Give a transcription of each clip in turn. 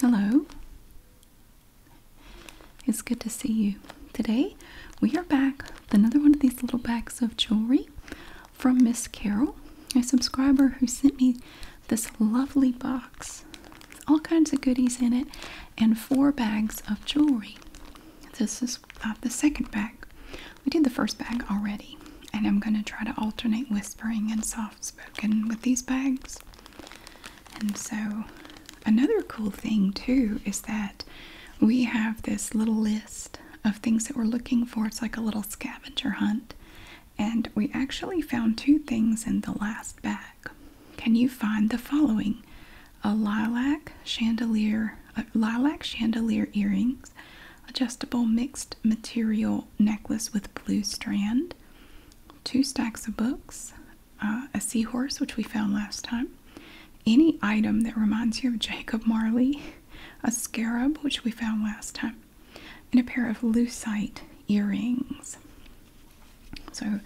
Hello. It's good to see you. Today we are back with another one of these little bags of jewelry from Miss Carol, a subscriber who sent me this lovely box. All kinds of goodies in it and four bags of jewelry. This is uh, the second bag. We did the first bag already, and I'm going to try to alternate whispering and soft spoken with these bags. And so, another cool thing too is that we have this little list of things that we're looking for. It's like a little scavenger hunt. And we actually found two things in the last bag. Can you find the following? a lilac chandelier, uh, lilac chandelier earrings, adjustable mixed material necklace with blue strand, two stacks of books, uh, a seahorse which we found last time, any item that reminds you of Jacob Marley, a scarab which we found last time, and a pair of lucite earrings. So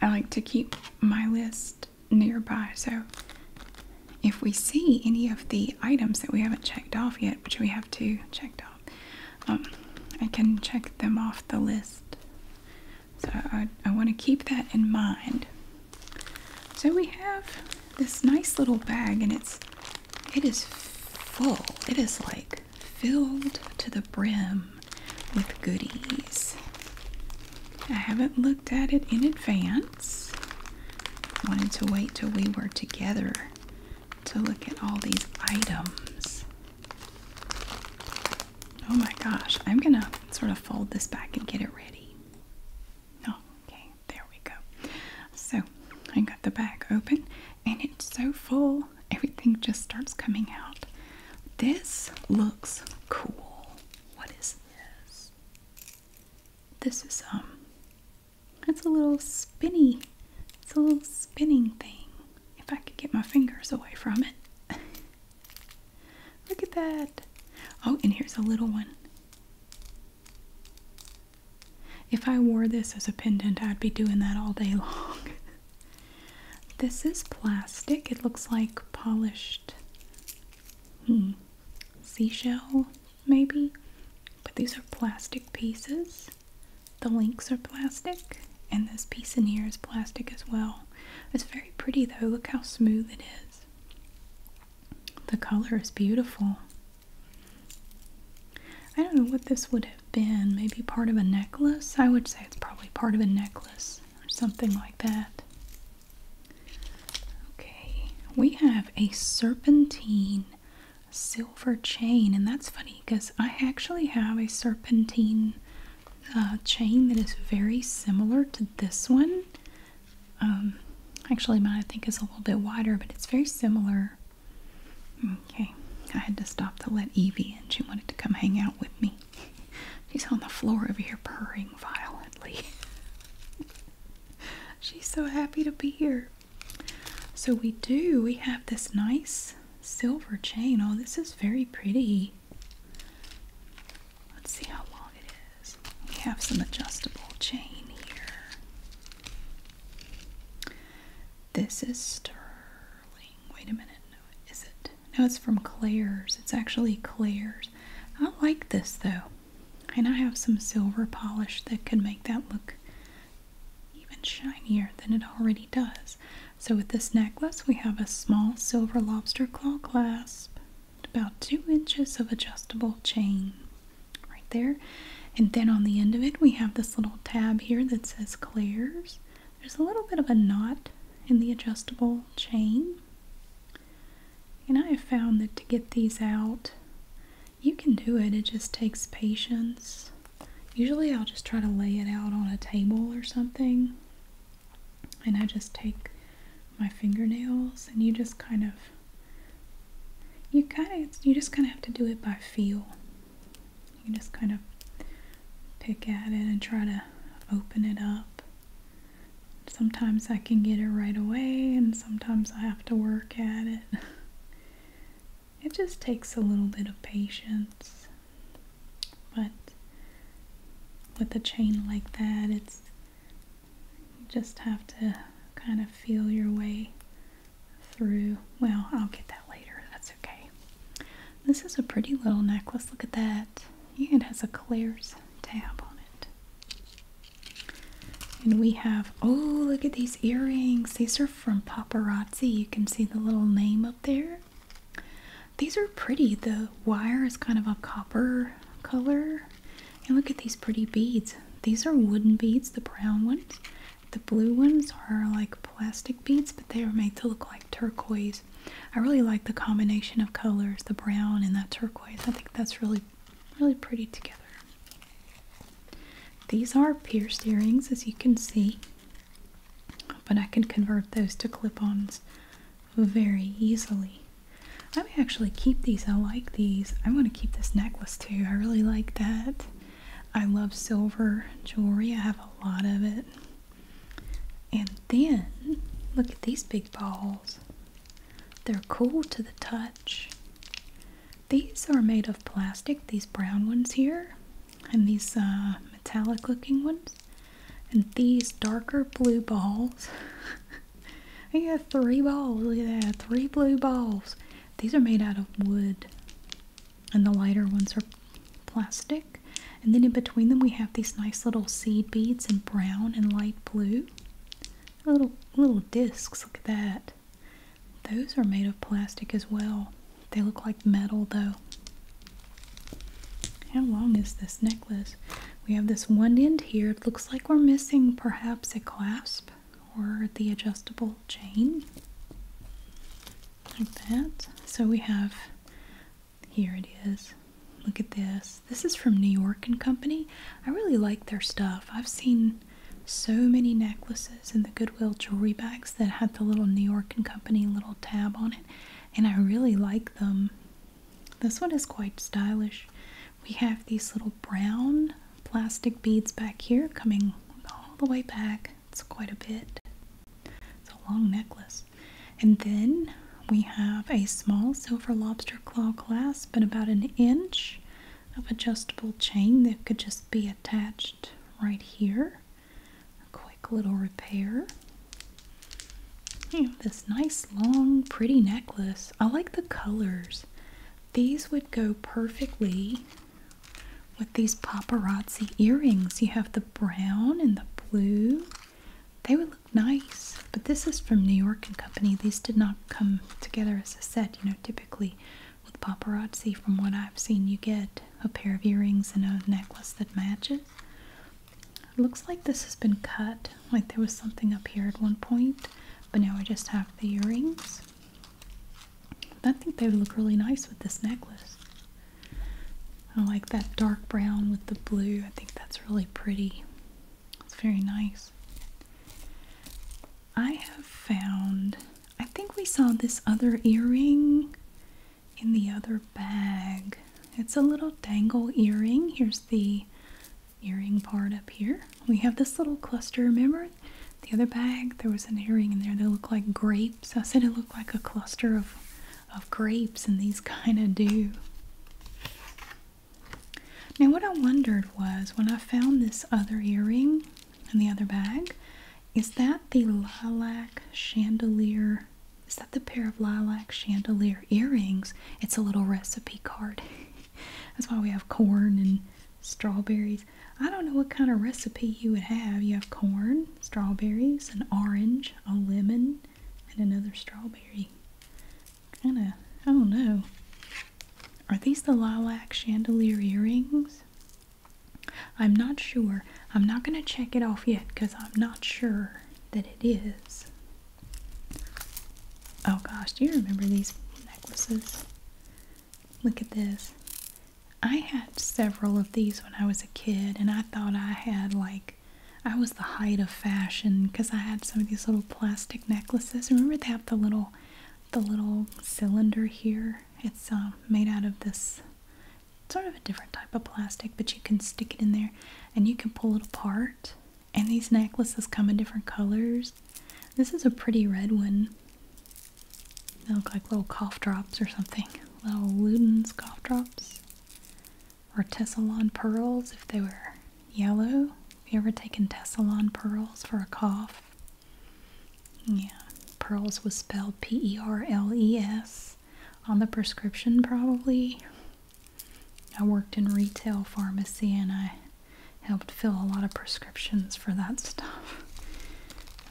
I like to keep my list nearby. So if we see any of the items that we haven't checked off yet, which we have to check off, um, I can check them off the list. So I want to keep that in mind. So we have this nice little bag, and it's it is full. It is like filled to the brim with goodies. I haven't looked at it in advance. Wanted to wait till we were together to look at all these items. Oh my gosh, I'm gonna sort of fold this back and get it ready. Oh, okay, there we go. So I got the bag open and it's so full, everything just starts coming out. This looks cool. What is this? This is, um, it's a little spinny, it's a little spinning thing. If I could get my fingers away from it. Look at that. Oh, and here's a little one. If I wore this as a pendant, I'd be doing that all day long. This is plastic. It looks like polished hmm, seashell, maybe. But these are plastic pieces. The links are plastic, and this piece in here is plastic as well. It's very pretty though. Look how smooth it is. The color is beautiful. I don't know what this would have been. Maybe part of a necklace? I would say it's probably part of a necklace or something like that. Okay, we have a serpentine silver chain, and that's funny because I actually have a serpentine uh, chain that is very similar to this one. Um, actually, mine I think is a little bit wider, but it's very similar. Okay, I had to stop to let Evie in. She wanted to come hang out with me me. She's on the floor over here purring violently. She's so happy to be here. So we do, we have this nice silver chain. Oh, this is very pretty. Let's see how long it is. We have some adjustable chain here. This is sterling. Wait a minute is it? No, it's from Claire's. It's actually Claire's. I like this though. And I have some silver polish that could make that look even shinier than it already does. So with this necklace, we have a small silver lobster claw clasp, about two inches of adjustable chain right there. And then on the end of it, we have this little tab here that says Claire's. There's a little bit of a knot in the adjustable chain. And I have found that to get these out, you can do it, it just takes patience. Usually I'll just try to lay it out on a table or something. And I just take my fingernails and you just kind of you kind of you just kind of have to do it by feel. You just kind of pick at it and try to open it up. Sometimes I can get it right away, and sometimes I have to work at it. It just takes a little bit of patience. But with a chain like that, it's just have to kind of feel your way through. Well, I'll get that later. That's okay. This is a pretty little necklace. Look at that. It has a Claire's tab on it. And we have, oh, look at these earrings. These are from Paparazzi. You can see the little name up there. These are pretty. The wire is kind of a copper color. And look at these pretty beads. These are wooden beads, the brown ones. The blue ones are like plastic beads, but they are made to look like turquoise I really like the combination of colors, the brown and that turquoise. I think that's really, really pretty together. These are pierced earrings, as you can see, but I can convert those to clip-ons very easily. I may actually keep these. I like these. i want to keep this necklace too. I really like that. I love silver jewelry. I have a lot of it. And then, look at these big balls. They're cool to the touch. These are made of plastic, these brown ones here, and these uh, metallic looking ones. And these darker blue balls. I got three balls. Look at that. Three blue balls. These are made out of wood. And the lighter ones are plastic. And then in between them we have these nice little seed beads in brown and light blue. Little little discs, look at that. Those are made of plastic as well. They look like metal though. How long is this necklace? We have this one end here. It looks like we're missing perhaps a clasp or the adjustable chain. Like that. So we have here it is. Look at this. This is from New York and Company. I really like their stuff. I've seen so many necklaces in the Goodwill jewelry bags that had the little New York and Company little tab on it, and I really like them. This one is quite stylish. We have these little brown plastic beads back here coming all the way back. It's quite a bit. It's a long necklace. And then we have a small silver lobster claw clasp and about an inch of adjustable chain that could just be attached right here. A quick little repair. And this nice long pretty necklace. I like the colors. These would go perfectly with these paparazzi earrings. You have the brown and the blue they would look nice, but this is from New York and Company. These did not come together as a set. You know, typically with paparazzi, from what I've seen, you get a pair of earrings and a necklace that matches. looks like this has been cut, like there was something up here at one point, but now I just have the earrings. I think they would look really nice with this necklace. I like that dark brown with the blue. I think that's really pretty. It's very nice. I have found, I think we saw this other earring in the other bag. It's a little dangle earring. Here's the earring part up here. We have this little cluster. Remember the other bag? There was an earring in there that looked like grapes grapes. I said it looked like a cluster of, of grapes, and these kind of do. Now, what I wondered was when I found this other earring in the other bag, is that the lilac chandelier? Is that the pair of lilac chandelier earrings? It's a little recipe card. That's why we have corn and strawberries. I don't know what kind of recipe you would have. You have corn, strawberries, and orange, a lemon, and another strawberry. Kind of, I don't know. Are these the lilac chandelier earrings? I'm not sure. I'm not going to check it off yet because I'm not sure that it is. Oh gosh, do you remember these necklaces? Look at this. I had several of these when I was a kid, and I thought I had like I was the height of fashion because I had some of these little plastic necklaces. Remember they have the little the little cylinder here. It's um, made out of this sort of a different type of plastic, but you can stick it in there and you can pull it apart. And these necklaces come in different colors. This is a pretty red one. They look like little cough drops or something. Little Luden's cough drops or Tessalon pearls if they were yellow. Have you ever taken Tessalon pearls for a cough? Yeah, pearls was spelled P E R L E S on the prescription, probably. I worked in retail pharmacy and I helped fill a lot of prescriptions for that stuff.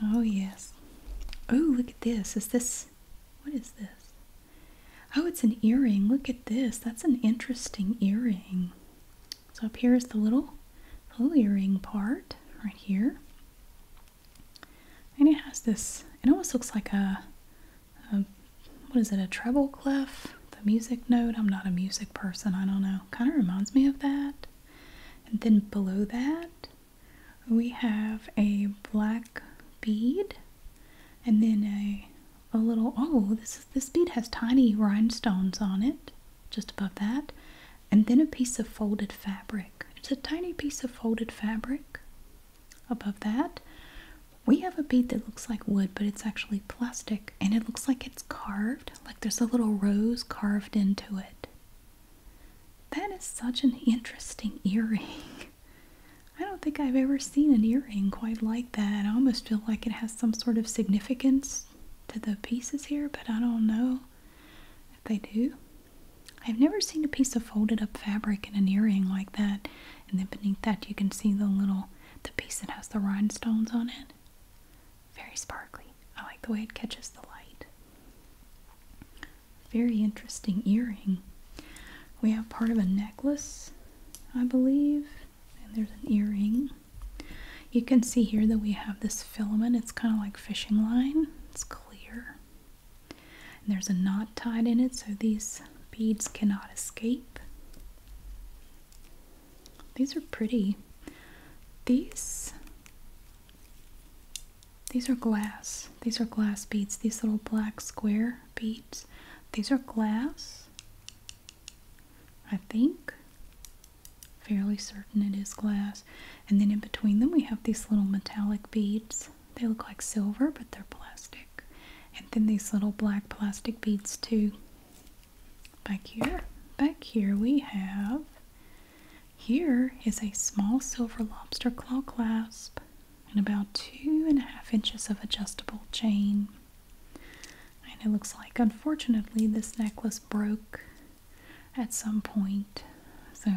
Oh, yes. Oh, look at this. Is this what is this? Oh, it's an earring. Look at this. That's an interesting earring. So up here is the little, the little earring part right here. And it has this, it almost looks like a, a what is it, a treble clef? The music note? I'm not a music person. I don't know. Kind of reminds me of that. And then below that, we have a black bead and then a a little oh this this bead has tiny rhinestones on it just above that and then a piece of folded fabric it's a tiny piece of folded fabric above that we have a bead that looks like wood but it's actually plastic and it looks like it's carved like there's a little rose carved into it that is such an interesting earring. I don't think I've ever seen an earring quite like that. I almost feel like it has some sort of significance to the pieces here, but I don't know if they do. I've never seen a piece of folded up fabric in an earring like that. And then beneath that you can see the little, the piece that has the rhinestones on it. Very sparkly. I like the way it catches the light very interesting earring. We have part of a necklace, I believe, and there's an earring. You can see here that we have this filament. It's kind of like fishing line. It's clear. there's a knot tied in it, so these beads cannot escape. These are pretty. These these are glass. These are glass beads. These little black square beads. These are glass. I think. Fairly certain it is glass. And then in between them we have these little metallic beads. They look like silver, but they're plastic. And then these little black plastic beads too. Back here. Back here we have here is a small silver lobster claw clasp and about two and a half inches of adjustable chain. And it looks like, unfortunately, this necklace broke at some point. So,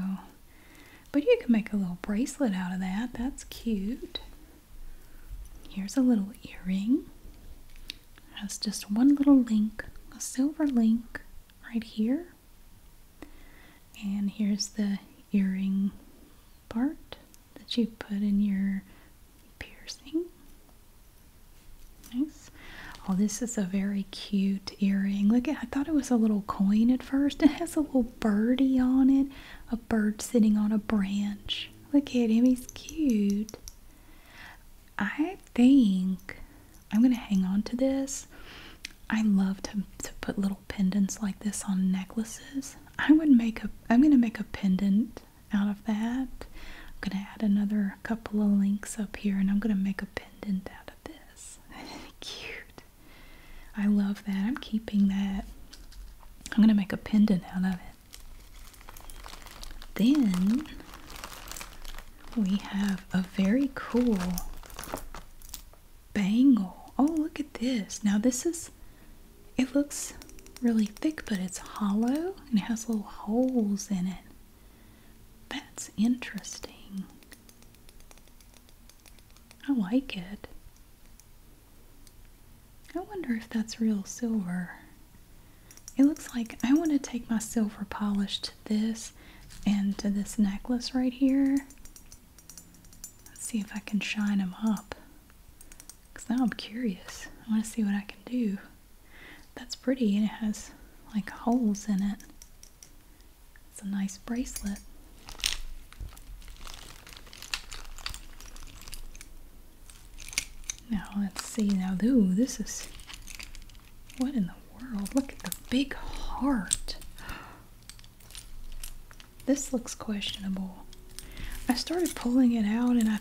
but you can make a little bracelet out of that. That's cute. Here's a little earring. It has just one little link, a silver link right here. And here's the earring part that you put in your piercing. Nice. Oh, this is a very cute earring. Look at I thought it was a little coin at first. It has a little birdie on it. A bird sitting on a branch. Look at him, he's cute. I think I'm gonna hang on to this. I love to, to put little pendants like this on necklaces. I would make a I'm gonna make a pendant out of that. I'm gonna add another couple of links up here and I'm gonna make a pendant out of this. Cute. I love that. I'm keeping that. I'm gonna make a pendant out of it. Then we have a very cool bangle. Oh, look at this. Now this is, it looks really thick, but it's hollow and it has little holes in it. That's interesting. I like it. I wonder if that's real silver. It looks like I want to take my silver polish to this and to this necklace right here. Let's see if I can shine them up. Because now I'm curious. I want to see what I can do. That's pretty and it has like holes in it. It's a nice bracelet. Now let's see. Now, ooh, this is what in the world? Look at the big heart. This looks questionable. I started pulling it out and I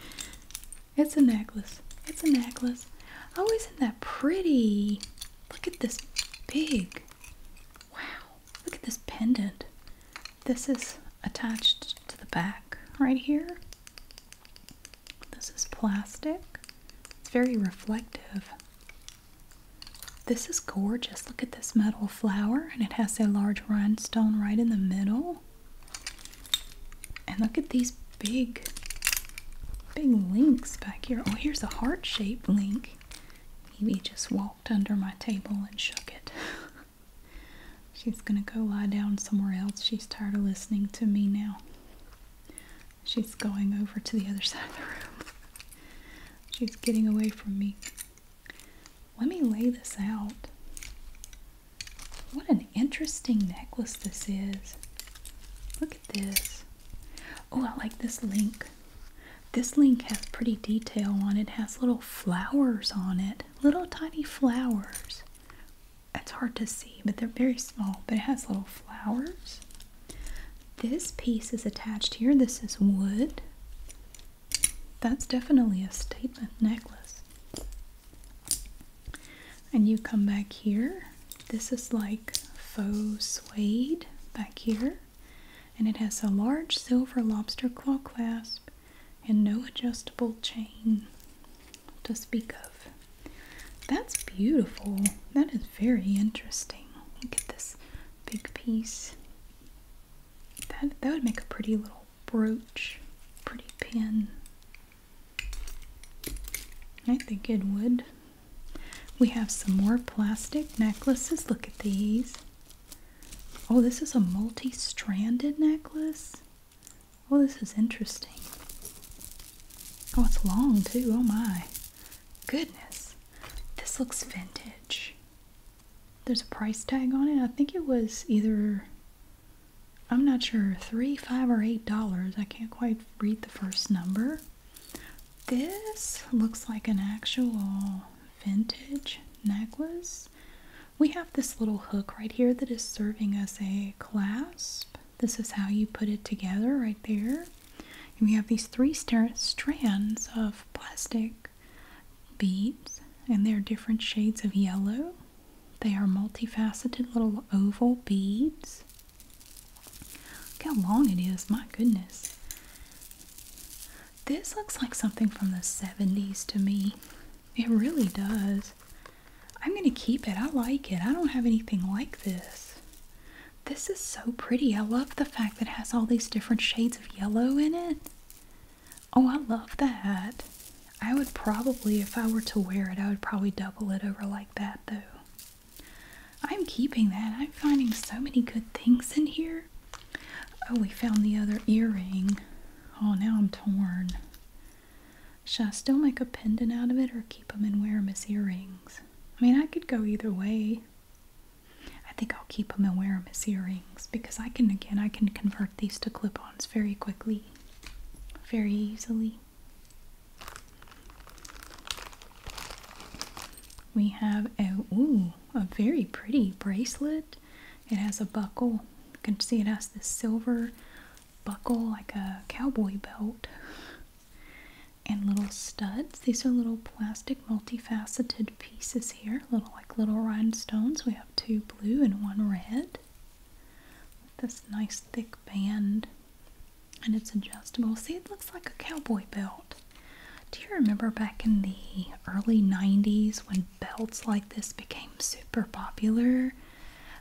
It's a necklace. It's a necklace. Oh, isn't that pretty? Look at this big. Wow. Look at this pendant. This is attached to the back right here. This is plastic. It's very reflective. This is gorgeous. Look at this metal flower, and it has a large rhinestone right in the middle. And look at these big, big links back here. Oh, here's a heart-shaped link. Maybe just walked under my table and shook it. She's gonna go lie down somewhere else. She's tired of listening to me now. She's going over to the other side of the room. She's getting away from me. Let me lay this out. What an interesting necklace this is. Look at this. Oh, I like this link. This link has pretty detail on it. it has little flowers on it. Little tiny flowers. It's hard to see, but they're very small. But it has little flowers. This piece is attached here. This is wood. That's definitely a statement necklace. And you come back here. This is like faux suede back here. And it has a large silver lobster claw clasp and no adjustable chain to speak of. That's beautiful. That is very interesting. Look at this big piece. That that would make a pretty little brooch, pretty pin. I think it would. We have some more plastic necklaces. Look at these. Oh, this is a multi-stranded necklace. Oh, this is interesting. Oh, it's long too. Oh my. Goodness. This looks vintage. There's a price tag on it. I think it was either I'm not sure, three, five, or eight dollars. I can't quite read the first number. This looks like an actual vintage necklace. We have this little hook right here that is serving as a clasp. This is how you put it together right there. we have these three strands of plastic beads, and they're different shades of yellow. They are multifaceted little oval beads. Look how long it is, my goodness. This looks like something from the 70s to me. It really does. I'm going to keep it. I like it. I don't have anything like this. This is so pretty. I love the fact that it has all these different shades of yellow in it. Oh, I love that. I would probably, if I were to wear it, I would probably double it over like that though. I'm keeping that. I'm finding so many good things in here. Oh, we found the other earring. Oh, now I'm torn. Shall I still make a pendant out of it or keep them and wear them as earrings? I mean, I could go either way. I think I'll keep them and wear them as earrings because I can, again, I can convert these to clip-ons very quickly, very easily. We have a, ooh, a very pretty bracelet. It has a buckle. You can see it has this silver buckle like a cowboy belt and little studs. These are little plastic multifaceted pieces here, little like little rhinestones. We have two blue and one red with this nice thick band and it's adjustable. See, it looks like a cowboy belt. Do you remember back in the early 90s when belts like this became super popular?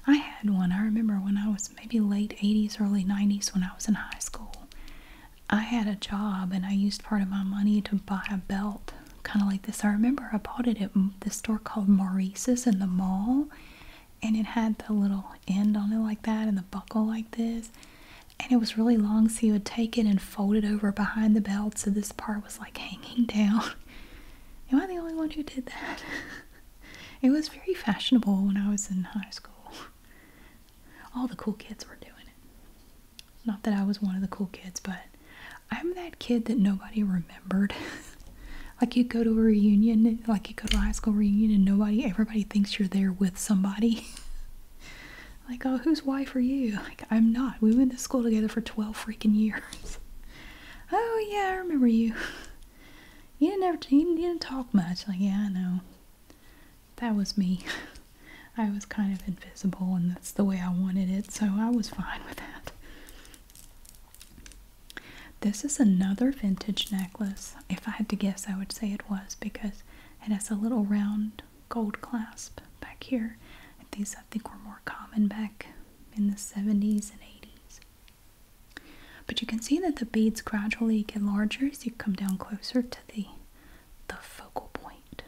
I had one. I remember when I was maybe late 80s, early 90s when I was in high school. I had a job and I used part of my money to buy a belt, kind of like this. I remember I bought it at the store called Maurice's in the mall, and it had the little end on it like that and the buckle like this. And it was really long, so you would take it and fold it over behind the belt, so this part was like hanging down. Am I the only one who did that? It was very fashionable when I was in high school. All the cool kids were doing it. Not that I was one of the cool kids, but I'm that kid that nobody remembered. like you go to a reunion, like you go to a high school reunion and nobody, everybody thinks you're there with somebody. like, oh, whose wife are you? Like, I'm not. We went to school together for 12 freaking years. oh, yeah, I remember you. He didn't ever you didn't talk much. Like, yeah, I know. That was me. I was kind of invisible and that's the way I wanted it, so I was fine with that. This is another vintage necklace. If I had to guess, I would say it was because it has a little round gold clasp back here. these I think were more common back in the 70s and 80s. But you can see that the beads gradually get larger as you come down closer to the, the focal point.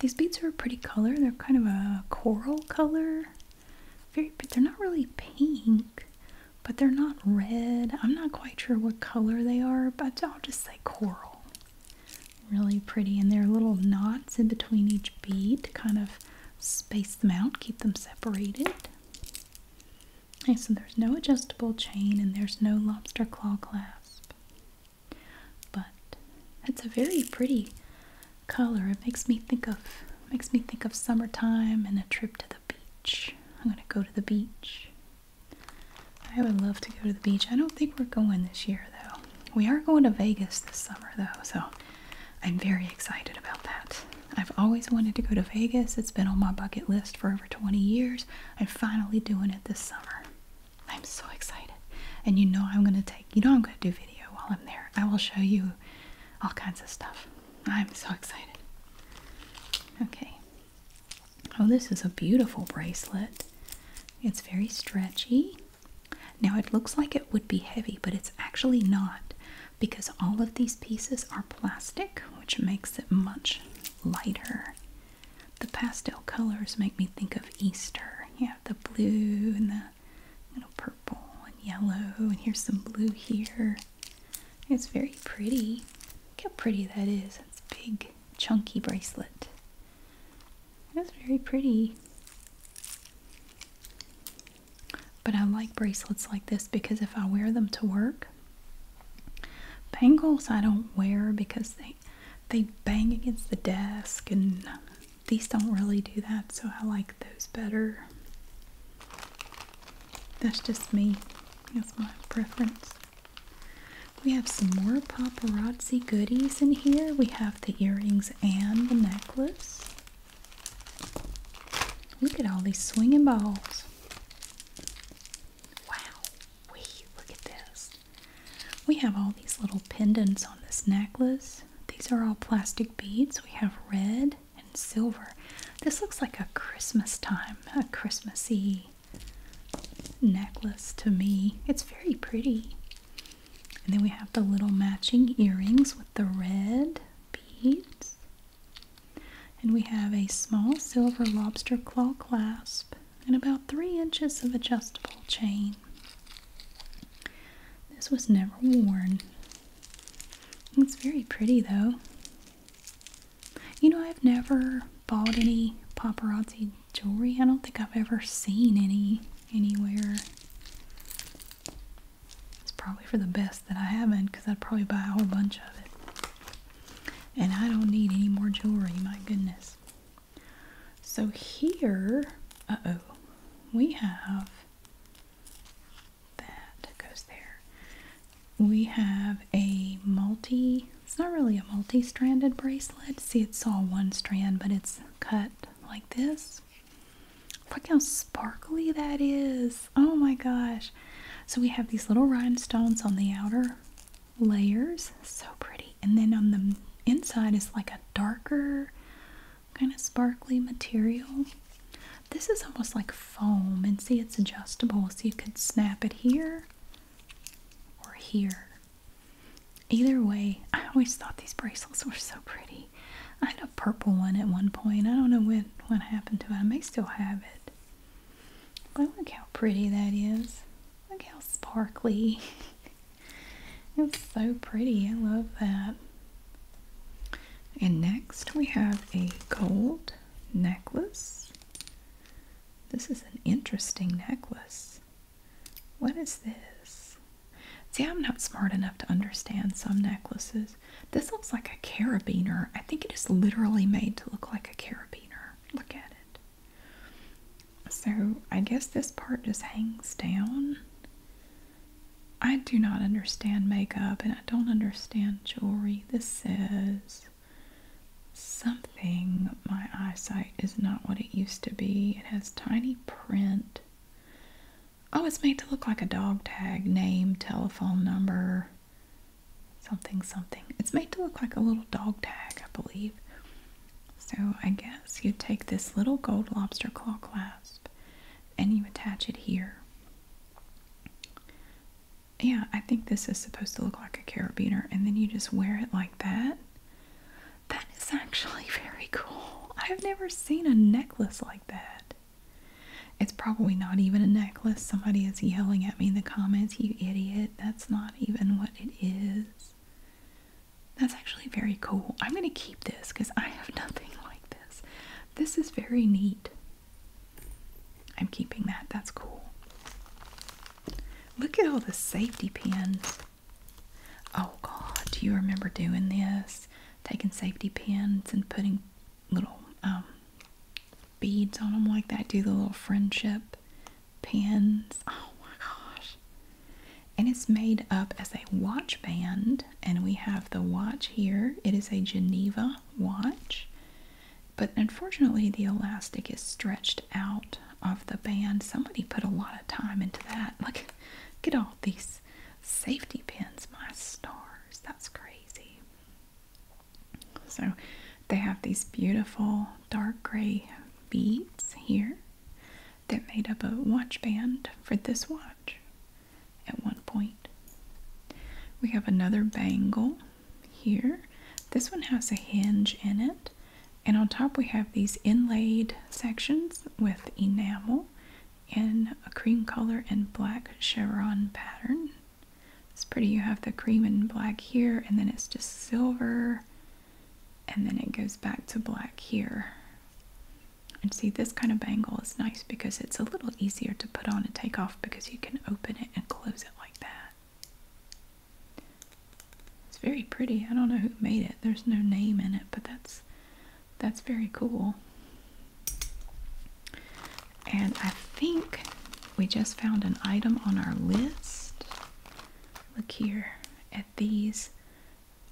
These beads are a pretty color. They're kind of a coral color. Very, they're not really pink, but they're not red. I'm not quite sure what color they are, but I'll just say coral. Really pretty, and there are little knots in between each bead to kind of space them out, keep them separated. Okay, so there's no adjustable chain and there's no lobster claw clasp. But it's a very pretty color. It makes me think of makes me think of summertime and a trip to the beach. I'm gonna go to the beach. I would love to go to the beach. I don't think we're going this year though. We are going to Vegas this summer though, so I'm very excited about that. I've always wanted to go to Vegas. It's been on my bucket list for over 20 years. I'm finally doing it this summer. I'm so excited. And you know I'm going to take, you know I'm going to do video while I'm there. I will show you all kinds of stuff. I'm so excited. Okay. Oh, this is a beautiful bracelet. It's very stretchy. Now it looks like it would be heavy, but it's actually not because all of these pieces are plastic, which makes it much lighter. The pastel colors make me think of Easter. You have the blue and the you purple and yellow, and here's some blue here. It's very pretty. Look how pretty that is. It's a big, chunky bracelet. It's very pretty. But I like bracelets like this because if I wear them to work, bangles I don't wear because they they bang against the desk and these don't really do that, so I like those better. That's just me. That's my preference. We have some more paparazzi goodies in here. We have the earrings and the necklace. Look at all these swinging balls. Wow, we look at this. We have all these little pendants on this necklace. These are all plastic beads. We have red and silver. This looks like a Christmas time, a Christmassy necklace to me. It's very pretty. And then we have the little matching earrings with the red beads. And we have a small silver lobster claw clasp and about three inches of adjustable chain. This was never worn. It's very pretty though. You know, I've never bought any paparazzi jewelry. I don't think I've ever seen any anywhere. It's probably for the best that I haven't because I'd probably buy a whole bunch of it. And I don't need any more jewelry, my goodness. So here, uh-oh, we have that goes there. We have a multi, it's not really a multi-stranded bracelet. See, it's all one strand, but it's cut like this. Look how sparkly that is. Oh my gosh. So we have these little rhinestones on the outer layers. So pretty. And then on the inside is like a darker kind of sparkly material. This is almost like foam. And see, it's adjustable. So you could snap it here or here. Either way, I always thought these bracelets were so pretty. I had a purple one at one point. I don't know when what happened to it. I may still have it. But look how pretty that is. Look how sparkly. it's so pretty. I love that. And next we have a gold necklace. This is an interesting necklace. What is this? See, I'm not smart enough to understand some necklaces. This looks like a carabiner. I think it is literally made to look like a carabiner. Look at it. So, I guess this part just hangs down. I do not understand makeup and I don't understand jewelry. This says something. My eyesight is not what it used to be. It has tiny print. Oh, it's made to look like a dog tag. Name, telephone number, something, something. It's made to look like a little dog tag, I believe. So I guess you take this little gold lobster claw clasp and you attach it here. Yeah, I think this is supposed to look like a carabiner, and then you just wear it like that. That is actually very cool. I've never seen a necklace like that. It's probably not even a necklace. Somebody is yelling at me in the comments, you idiot. That's not even what it is. That's actually very cool. I'm going to keep this because I have nothing like this. This is very neat. I'm keeping that. That's cool. Look at all the safety pins. Oh, God. Do you remember doing this? taking safety pins and putting little um, beads on them like that. Do the little friendship pins. Oh my gosh. And it's made up as a watch band. And we have the watch here. It is a Geneva watch. But unfortunately, the elastic is stretched out of the band. Somebody put a lot of time into that. Look, look at all these safety pins, my stars, that's crazy. So they have these beautiful dark gray beads here that made up a watch band for this watch at one point. We have another bangle here. This one has a hinge in it. And on top we have these inlaid sections with enamel in a cream color and black chevron pattern. It's pretty. You have the cream and black here, and then it's just silver, and then it goes back to black here. And see, this kind of bangle is nice because it's a little easier to put on and take off because you can open it and close it like that. It's very pretty. I don't know who made it. There's no name in it, but that's that's very cool. And I think we just found an item on our list. Look here at these.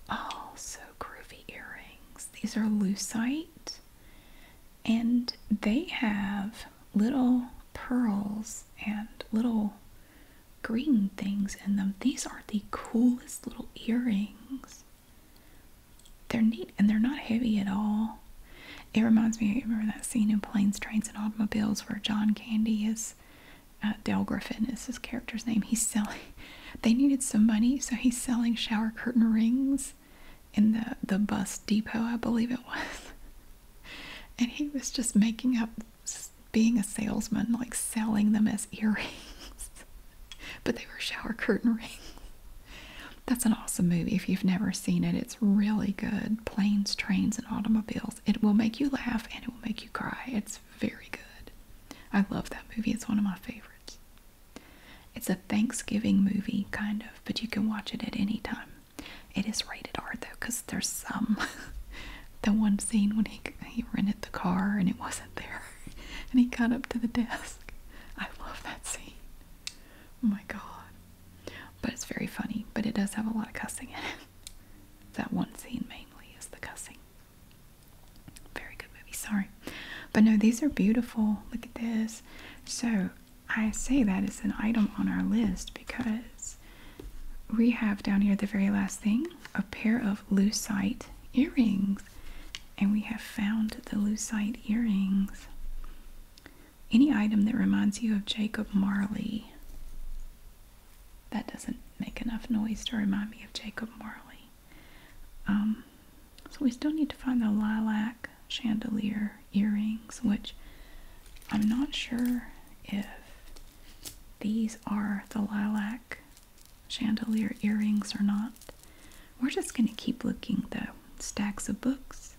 also oh, groovy earrings. These are lucite and they have little pearls and little green things in them. These are the coolest little earrings. They're neat and they're not heavy at all. It reminds me, remember that scene in Planes, Trains, and Automobiles where John Candy is, uh, Griffin is his character's name. He's selling, they needed some money, so he's selling shower curtain rings in the, the bus depot, I believe it was. And he was just making up being a salesman, like selling them as earrings. but they were shower curtain rings. That's an awesome movie. If you've never seen it, it's really good. Planes, trains, and automobiles. It will make you laugh and it will make you cry. It's very good. I love that movie. It's one of my favorites. It's a Thanksgiving movie, kind of, but you can watch it at any time. It is rated R though, because there's some. the one scene when he, he rented the car and it wasn't there and he got up to the desk. I love that scene. Oh my god. But it's very funny, but it does have a lot of cussing in it. That one scene mainly is the cussing. Very good movie, sorry. But no, these are beautiful. Look at this. So I say that it's an item on our list because we have down here the very last thing a pair of lucite earrings and we have found the lucite earrings. Any item that reminds you of Jacob Marley. That doesn't make enough noise to remind me of Jacob Marley. Um, so we still need to find the lilac chandelier earrings, which I'm not sure if these are the lilac chandelier earrings or not. We're just going to keep looking The Stacks of books.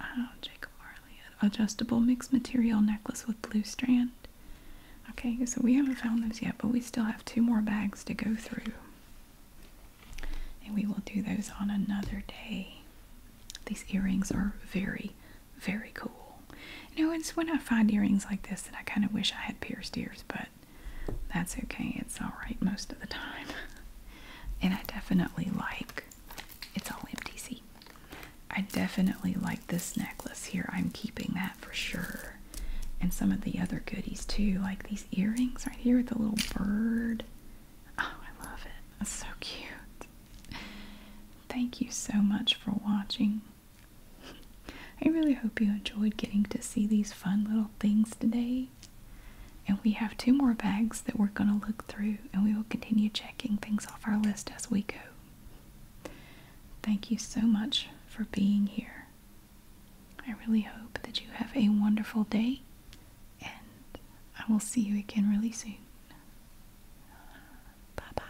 Oh, Jacob Marley. Adjustable mixed material necklace with blue strand. Okay, so we haven't found those yet, but we still have two more bags to go through. And we will do those on another day. These earrings are very, very cool. You know, it's when I find earrings like this that I kind of wish I had pierced ears, but that's okay. It's all right most of the time. and I definitely like it's all MTC. I definitely like this necklace here. I'm keeping that for sure. And some of the other goodies too, like these earrings right here with the little bird. Oh, I love it. That's so cute. Thank you so much for watching. I really hope you enjoyed getting to see these fun little things today. And we have two more bags that we're going to look through, and we will continue checking things off our list as we go. Thank you so much for being here. I really hope that you have a wonderful day, and I will see you again really soon. Bye bye.